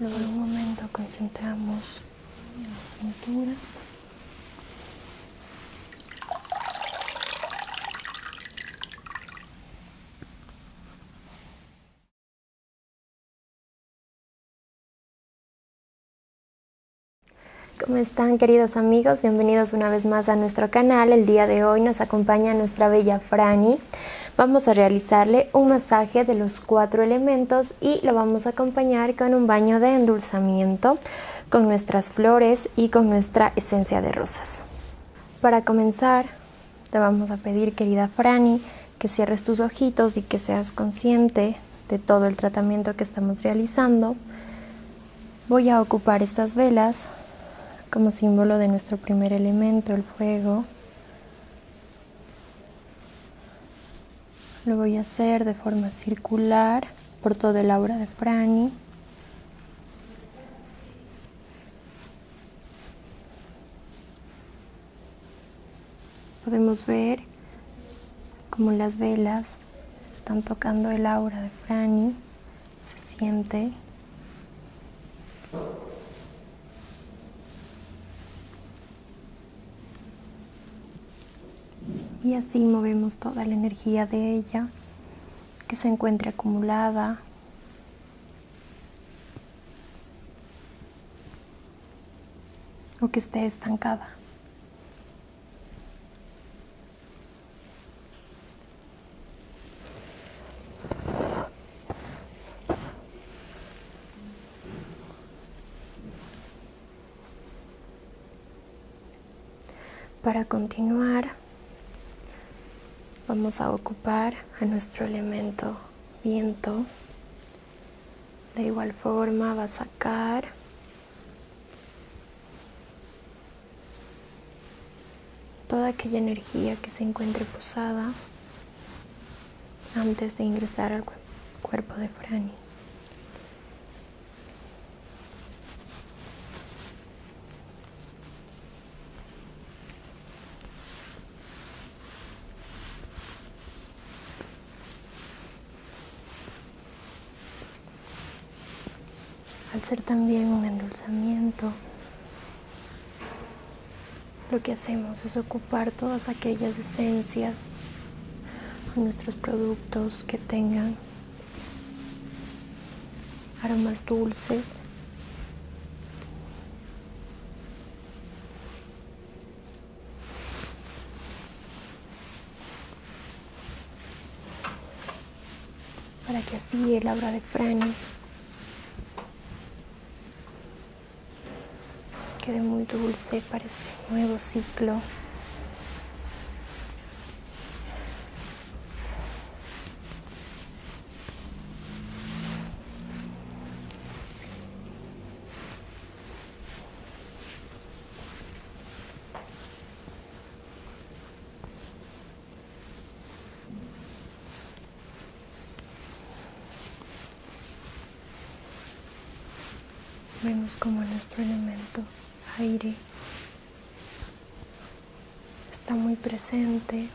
Luego un momento concentramos en la cintura. ¿Cómo están queridos amigos? Bienvenidos una vez más a nuestro canal. El día de hoy nos acompaña nuestra bella Franny. Vamos a realizarle un masaje de los cuatro elementos y lo vamos a acompañar con un baño de endulzamiento con nuestras flores y con nuestra esencia de rosas. Para comenzar, te vamos a pedir, querida Franny, que cierres tus ojitos y que seas consciente de todo el tratamiento que estamos realizando. Voy a ocupar estas velas como símbolo de nuestro primer elemento, el fuego. Lo voy a hacer de forma circular por todo el aura de Franny. Podemos ver cómo las velas están tocando el aura de Franny se siente. Y así movemos toda la energía de ella que se encuentre acumulada. o que esté estancada. Para continuar, vamos a ocupar a nuestro elemento viento. De igual forma va a sacar toda aquella energía que se encuentre posada antes de ingresar al cuerpo de Franny. al ser también un endulzamiento, lo que hacemos es ocupar todas aquellas esencias nuestros productos que tengan aromas dulces. Para que así el aura de Fran Quede muy dulce para este nuevo ciclo. Vemos como nuestro elemento aire está muy presente.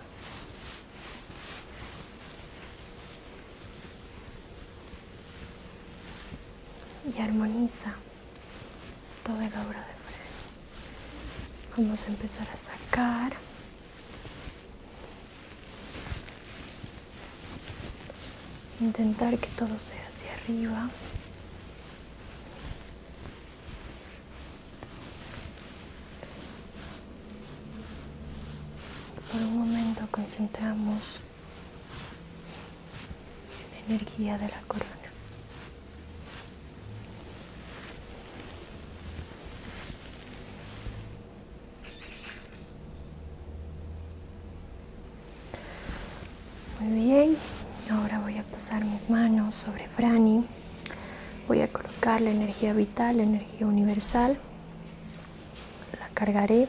Y armoniza toda la obra de Fred. Vamos a empezar a sacar intentar que todo sea hacia arriba por un momento concentramos la energía de la corona muy bien, ahora voy a posar mis manos sobre Franny. Voy a colocar la energía vital, la energía universal. La cargaré.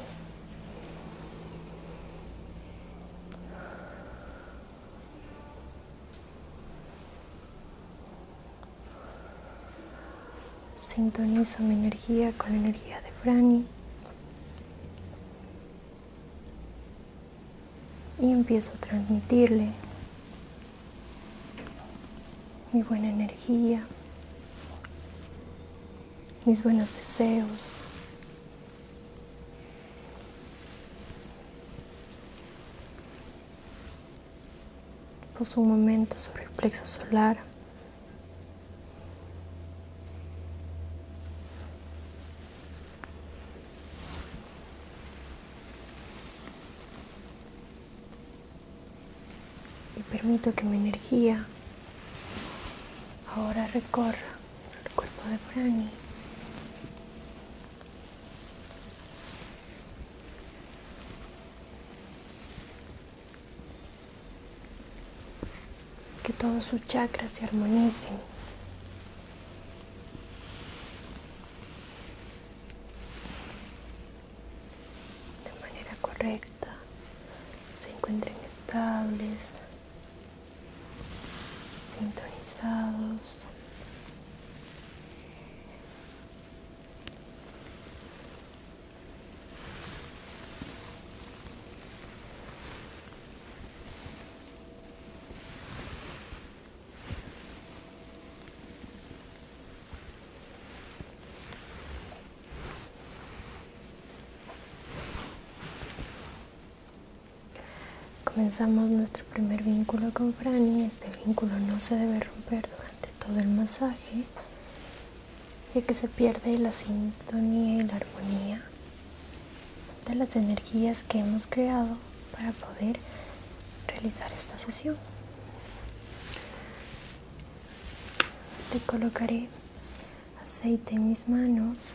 Sintonizo mi energía con la energía de Franny. Y empiezo a transmitirle mi buena energía, mis buenos deseos. Puso un momento sobre el plexo solar. Y permito que mi energía ahora recorra el cuerpo de Franny. Que todos sus chakras se armonicen. De manera correcta. Se encuentren estables. Sintonizados. Comenzamos nuestro primer vínculo con Franny, este vínculo no se debe romper de todo el masaje, ya que se pierde la sintonía y la armonía de las energías que hemos creado para poder realizar esta sesión. le colocaré aceite en mis manos.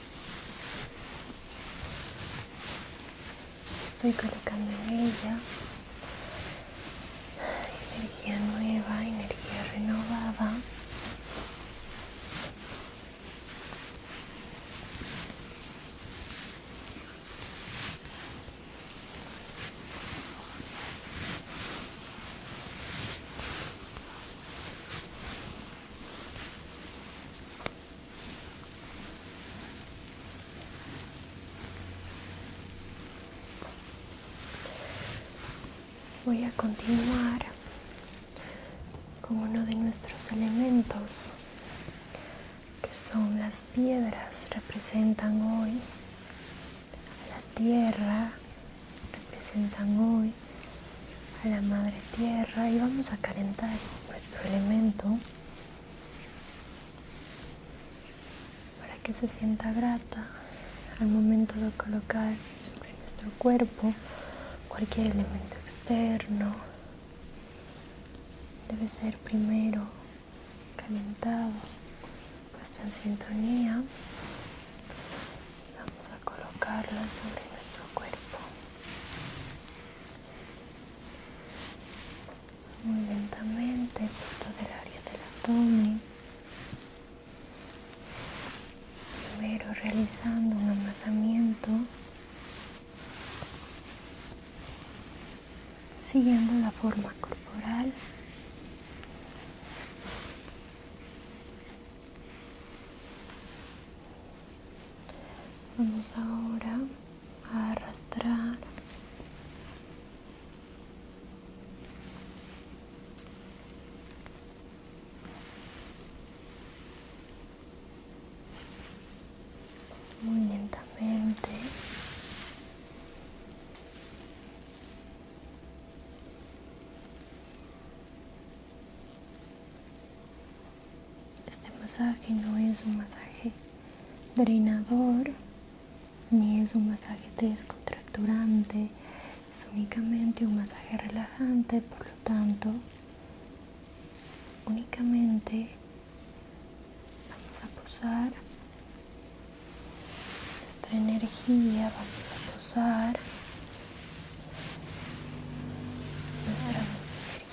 Estoy colocando en ella energía nueva, energía renovada. Voy a continuar con uno de nuestros elementos que son las piedras, representan hoy la tierra, representan hoy a la madre tierra y vamos a calentar nuestro elemento para que se sienta grata al momento de colocar sobre nuestro cuerpo cualquier elemento externo debe ser primero calentado puesto en sintonía vamos a colocarlo sobre nuestro cuerpo muy lentamente por todo el área del abdomen primero realizando un amasamiento siguiendo la forma corporal Vamos ahora a arrastrar muy lentamente este masaje no es un masaje drenador ni es un masaje descontracturante, es únicamente un masaje relajante, por lo tanto, únicamente vamos a posar nuestra energía, vamos a posar nuestra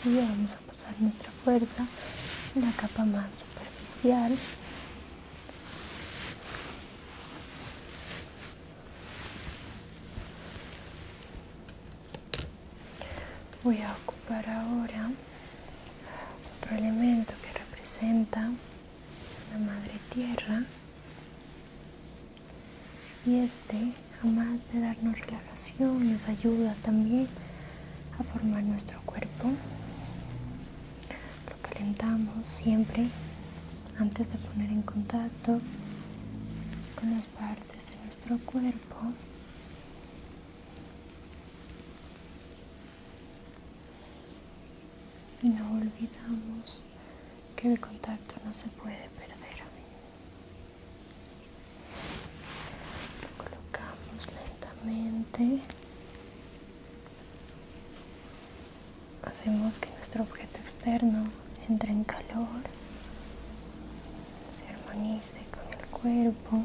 vamos a pasar nuestra fuerza en la capa más superficial voy a ocupar ahora otro elemento que representa la madre tierra y este, además de darnos relajación, nos ayuda también a formar nuestro cuerpo. Lo calentamos siempre antes de poner en contacto con las partes de nuestro cuerpo. Y no olvidamos que el contacto no se puede perder lo colocamos lentamente hacemos que nuestro objeto externo entre en calor se armonice con el cuerpo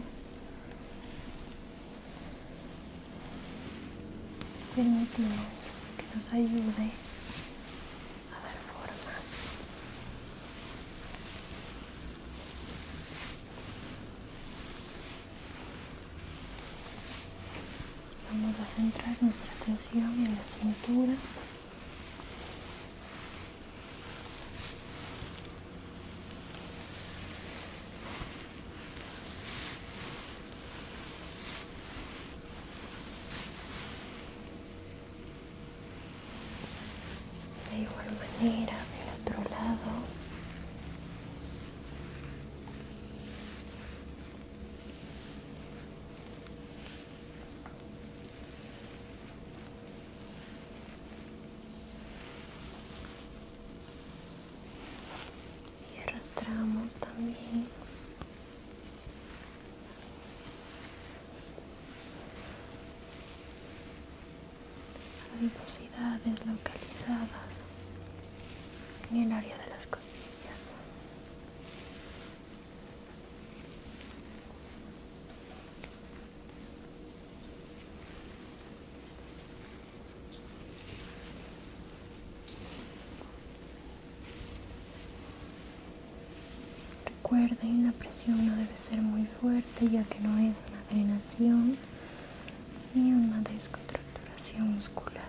permitimos que nos ayude forma. Vamos a centrar nuestra atención en la cintura. De igual manera, del otro lado. Y arrastramos también adiposidades localizadas en el área de las costillas. Recuerden, la presión no debe ser muy fuerte ya que no es una drenación ni una descontracturación muscular.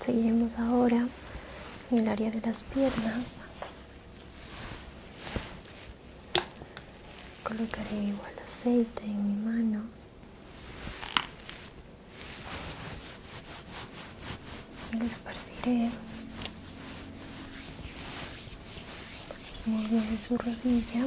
Seguiremos ahora en el área de las piernas Colocaré igual aceite en mi mano. Y lo esparciré su rodilla.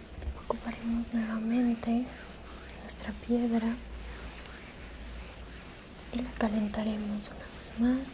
ocuparemos nuevamente nuestra piedra y la calentaremos una vez más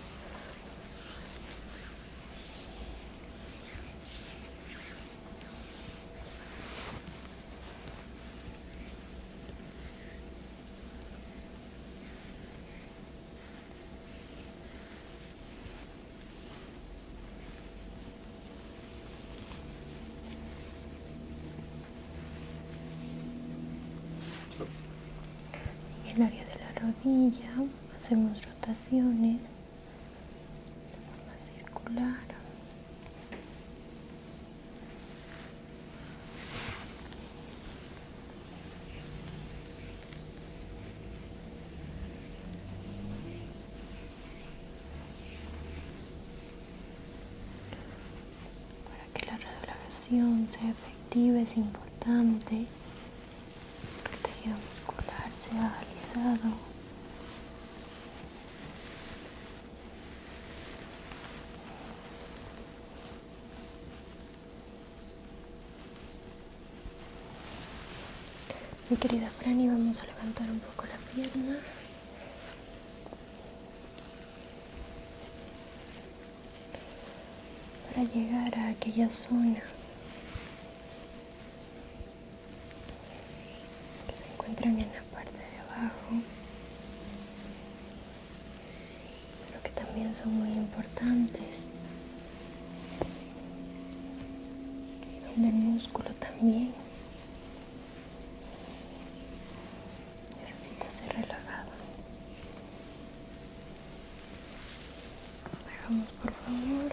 en el área de la rodilla hacemos rotaciones de forma circular para que la relajación sea efectiva es importante que el tejido muscular sea alisado. Mi querida Franny, vamos a levantar un poco la pierna. Para llegar a aquellas zonas que se encuentran en la parte de abajo, pero que también son muy importantes donde el músculo también necesita ser relajado. dejamos por favor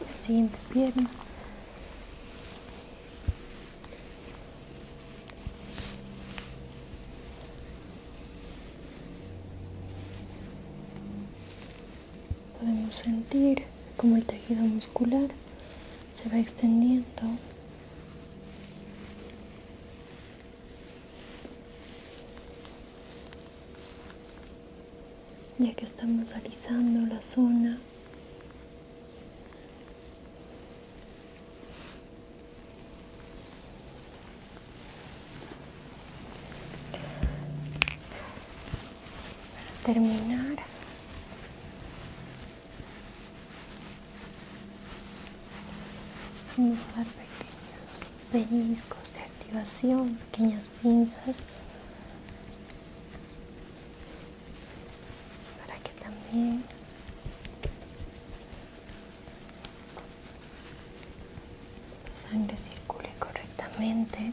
la siguiente pierna. Podemos sentir como el tejido muscular se va extendiendo ya que estamos alisando la zona para terminar vamos a dar pequeños pellizcos de activación pequeñas pinzas para que también la sangre circule correctamente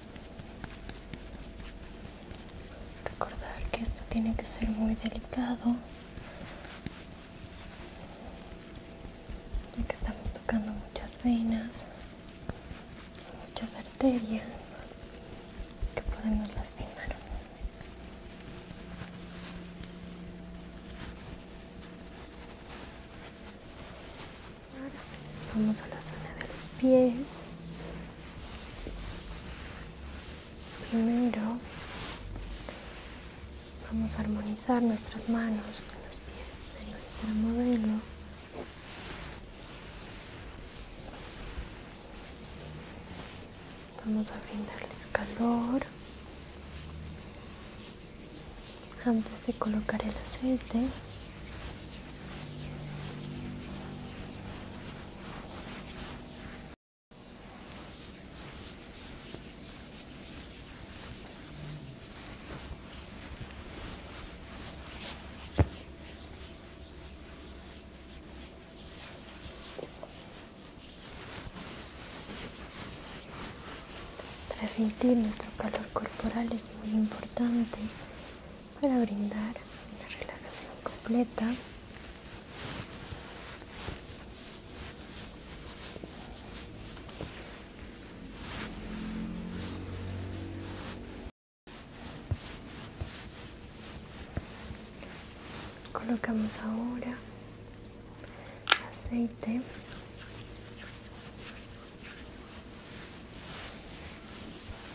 Recordar que esto tiene que ser muy delicado, ya que estamos tocando muchas venas, muchas arterias que podemos lastimar. Vamos a la zona de los pies. Primero vamos a armonizar nuestras manos con los pies de nuestra modelo. Vamos a brindarles calor antes de colocar el aceite. Transmitir nuestro calor corporal es muy importante para brindar una relajación completa. Colocamos ahora aceite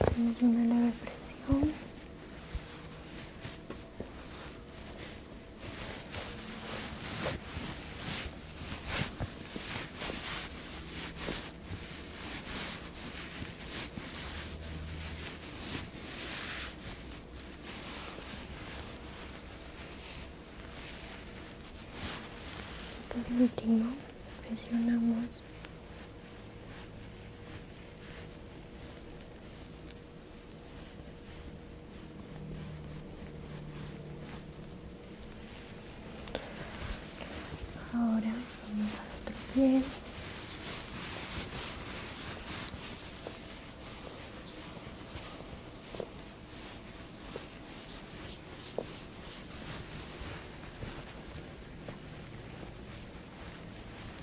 Hacemos una leve presión. Por último, presionamos Ahora vamos al otro pie.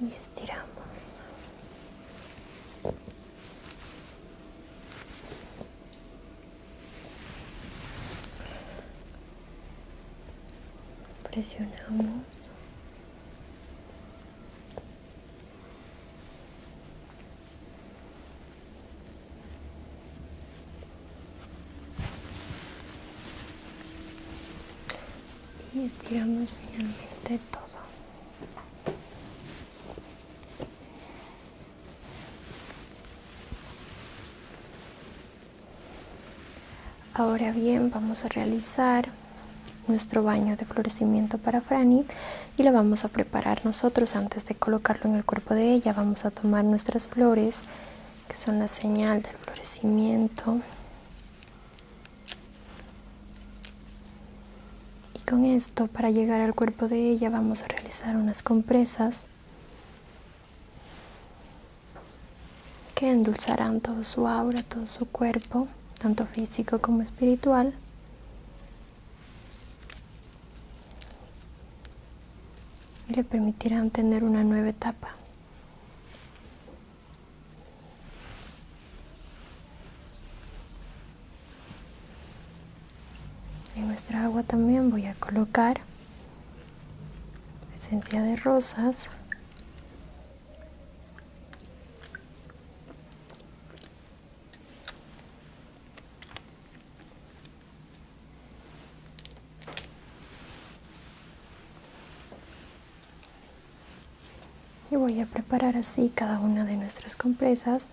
y estiramos. Presionamos y estiramos finalmente todo ahora bien vamos a realizar nuestro baño de florecimiento para Franny y lo vamos a preparar nosotros antes de colocarlo en el cuerpo de ella. Vamos a tomar nuestras flores, que son la señal del florecimiento. Y con esto, para llegar al cuerpo de ella, vamos a realizar unas compresas que endulzarán todo su aura, todo su cuerpo, tanto físico como espiritual y le permitirán tener una nueva etapa. En nuestra agua también voy a colocar esencia de rosas y voy a preparar así cada una de nuestras compresas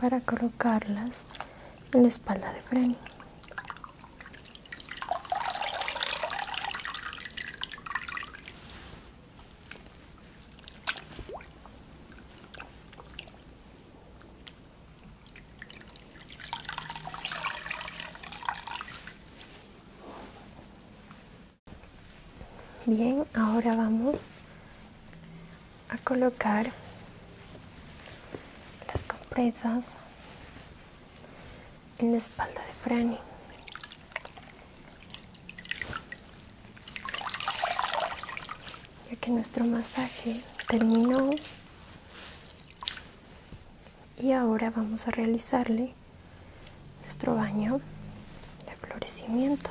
para colocarlas en la espalda de freno Bien, ahora vamos a colocar las compresas en la espalda de Franny. Ya que nuestro masaje terminó y ahora vamos a realizarle nuestro baño de florecimiento.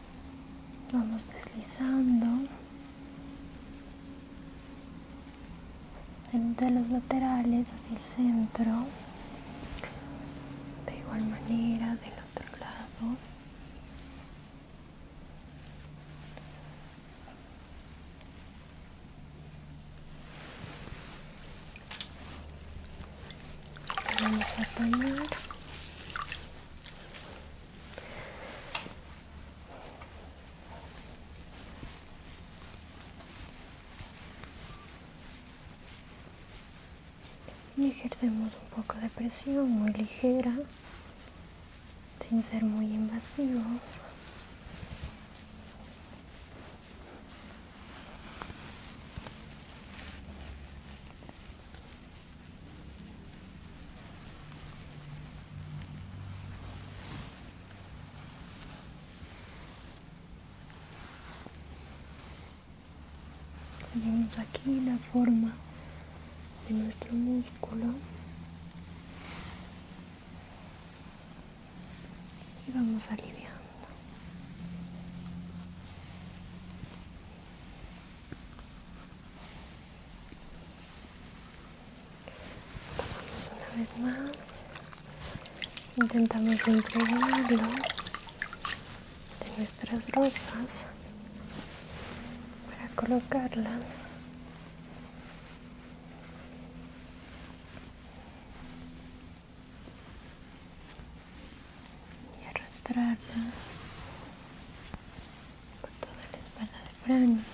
vamos deslizando de los laterales hacia el centro de igual manera del otro lado vamos a y ejercemos un poco de presión muy ligera sin ser muy invasivos Seguimos aquí la forma de nuestro músculo y vamos aliviando una vez más. Intentamos impregnarlo de nuestras rosas para colocarlas. y arrastrarlas por toda la espalda de Fran.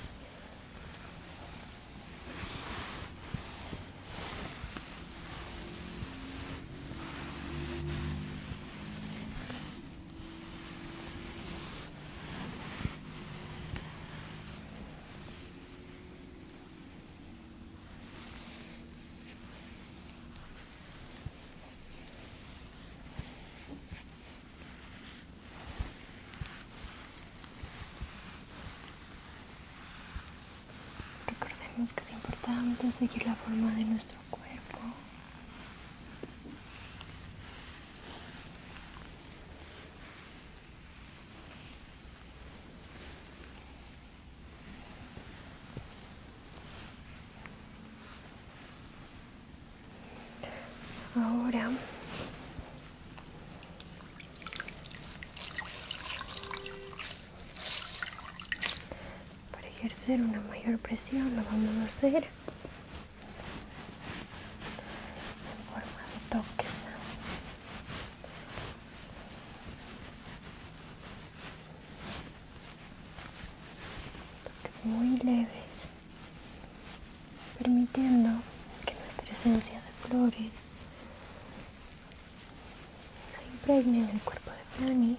Recordemos que es importante seguir la forma de nuestro cuerpo. Ahora para ejercer una mayor presión lo vamos a hacer en forma de toques. Toques muy leves permitiendo que nuestra esencia de flores se impregne en el cuerpo de Fanny.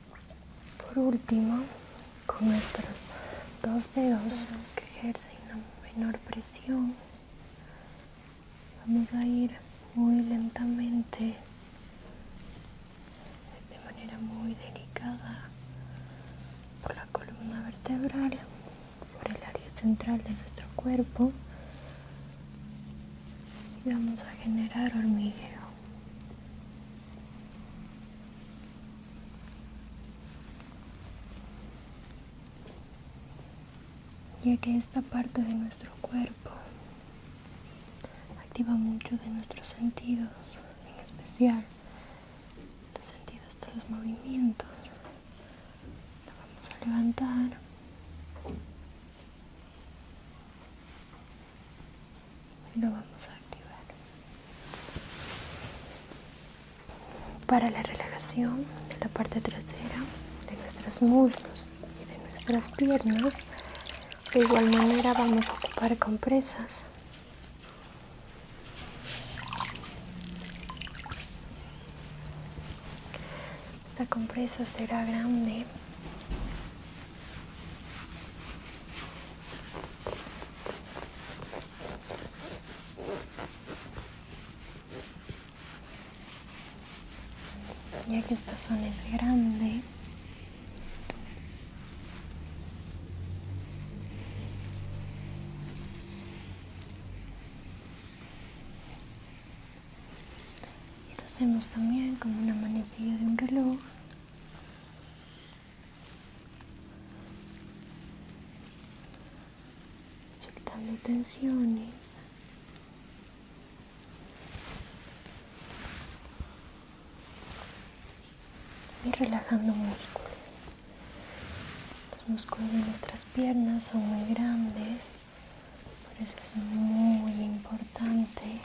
Por último, con nuestros dos dedos que ejercen una menor presión, vamos a ir muy lentamente, de manera muy delicada, por la columna vertebral, por el área central de nuestro cuerpo y vamos a generar hormigueo ya que esta parte de nuestro cuerpo activa mucho de nuestros sentidos, en especial los sentidos de los movimientos. Lo vamos a levantar y lo vamos a activar. Para la relajación de la parte trasera, de nuestros muslos y de nuestras piernas, de igual manera vamos a ocupar compresas. Esta compresa será grande ya que esta zona es grande, y lo hacemos también como una manecilla de un reloj soltando tensiones y relajando músculos. Los músculos de nuestras piernas son muy grandes, por eso es muy importante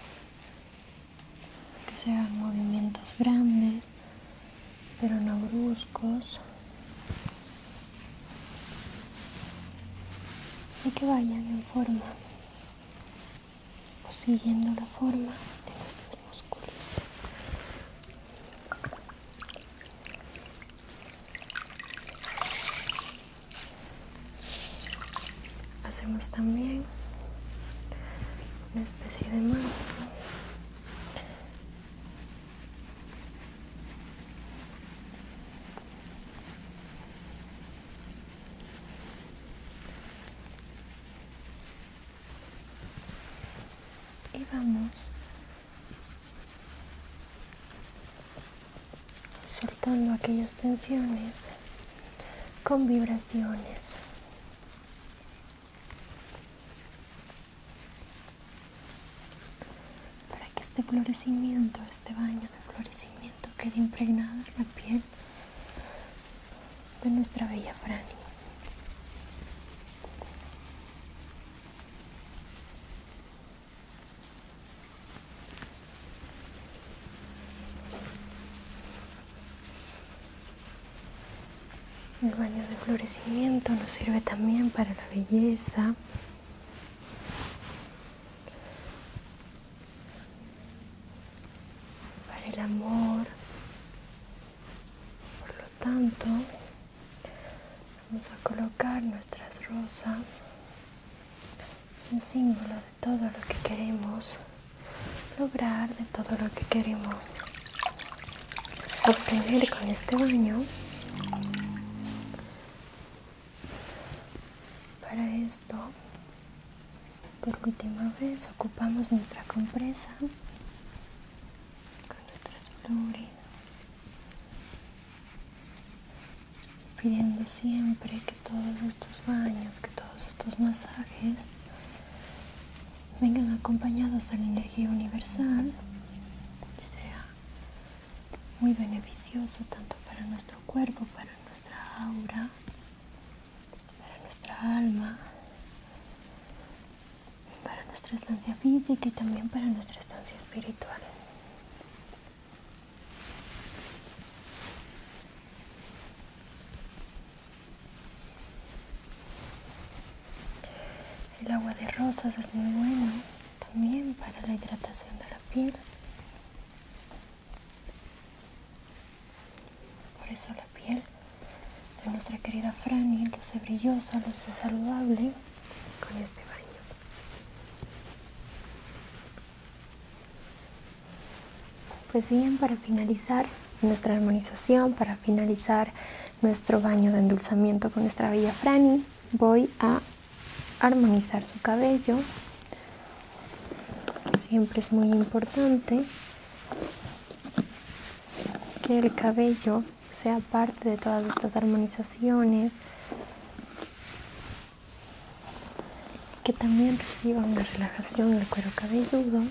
que se hagan movimientos grandes pero no bruscos y que vayan en forma o siguiendo la forma de los músculos hacemos también una especie de mazo y vamos soltando aquellas tensiones con vibraciones para que este florecimiento, este baño de florecimiento quede impregnado en la piel de nuestra bella Franny. El baño de florecimiento nos sirve también para la belleza. Para el amor. Por lo tanto, vamos a colocar nuestras rosas en símbolo de todo lo que queremos lograr de todo lo que queremos obtener con este baño para esto por última vez ocupamos nuestra compresa con nuestras flores pidiendo siempre que todos estos baños que todos estos masajes vengan acompañados a la energía universal, sea muy beneficioso tanto para nuestro cuerpo, para nuestra aura, para nuestra alma, para nuestra estancia física y también para nuestra estancia espiritual. El agua de rosas es muy bueno también para la hidratación de la piel. Por eso la piel de nuestra querida Franny luce brillosa, luce saludable con este baño. Pues bien, para finalizar nuestra armonización, para finalizar nuestro baño de endulzamiento con nuestra bella Franny, voy a armonizar su cabello. Siempre es muy importante que el cabello sea parte de todas estas armonizaciones, que también reciba una relajación del cuero cabelludo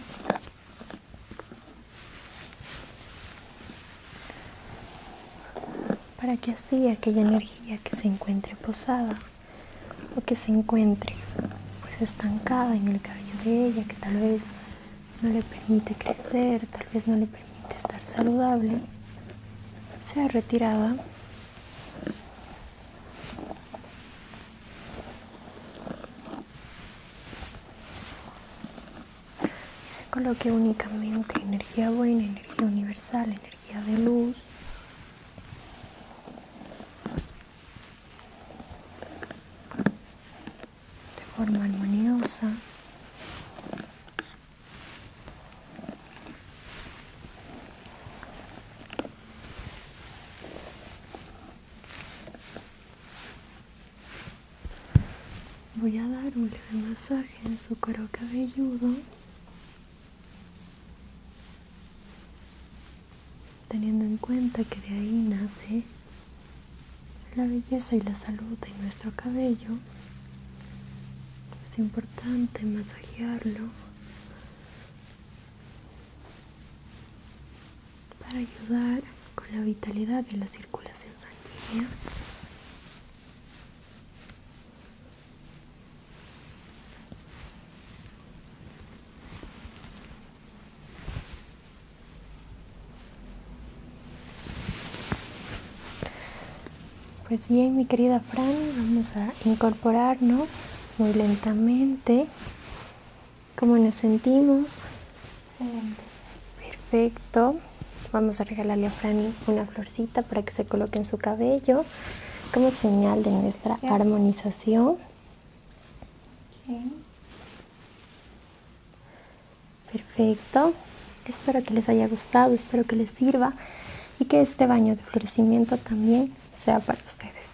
para que así aquella energía que se encuentre posada o que se encuentre pues, estancada en el cabello de ella que tal vez no le permite crecer, tal vez no le permite estar saludable, sea retirada y se coloque únicamente energía buena, energía universal, energía de luz. De forma armoniosa. Voy a dar un leve masaje en su cuero cabelludo, teniendo en cuenta que de ahí nace la belleza y la salud de nuestro cabello. Es importante masajearlo para ayudar con la vitalidad de la circulación sanguínea. Pues bien, mi querida Fran, vamos a incorporarnos muy lentamente ¿Cómo nos sentimos? Excelente. Perfecto. Vamos a regalarle a Franny una florcita para que se coloque en su cabello como señal de nuestra armonización. Perfecto. Espero que les haya gustado, espero que les sirva y que este baño de florecimiento también sea para ustedes.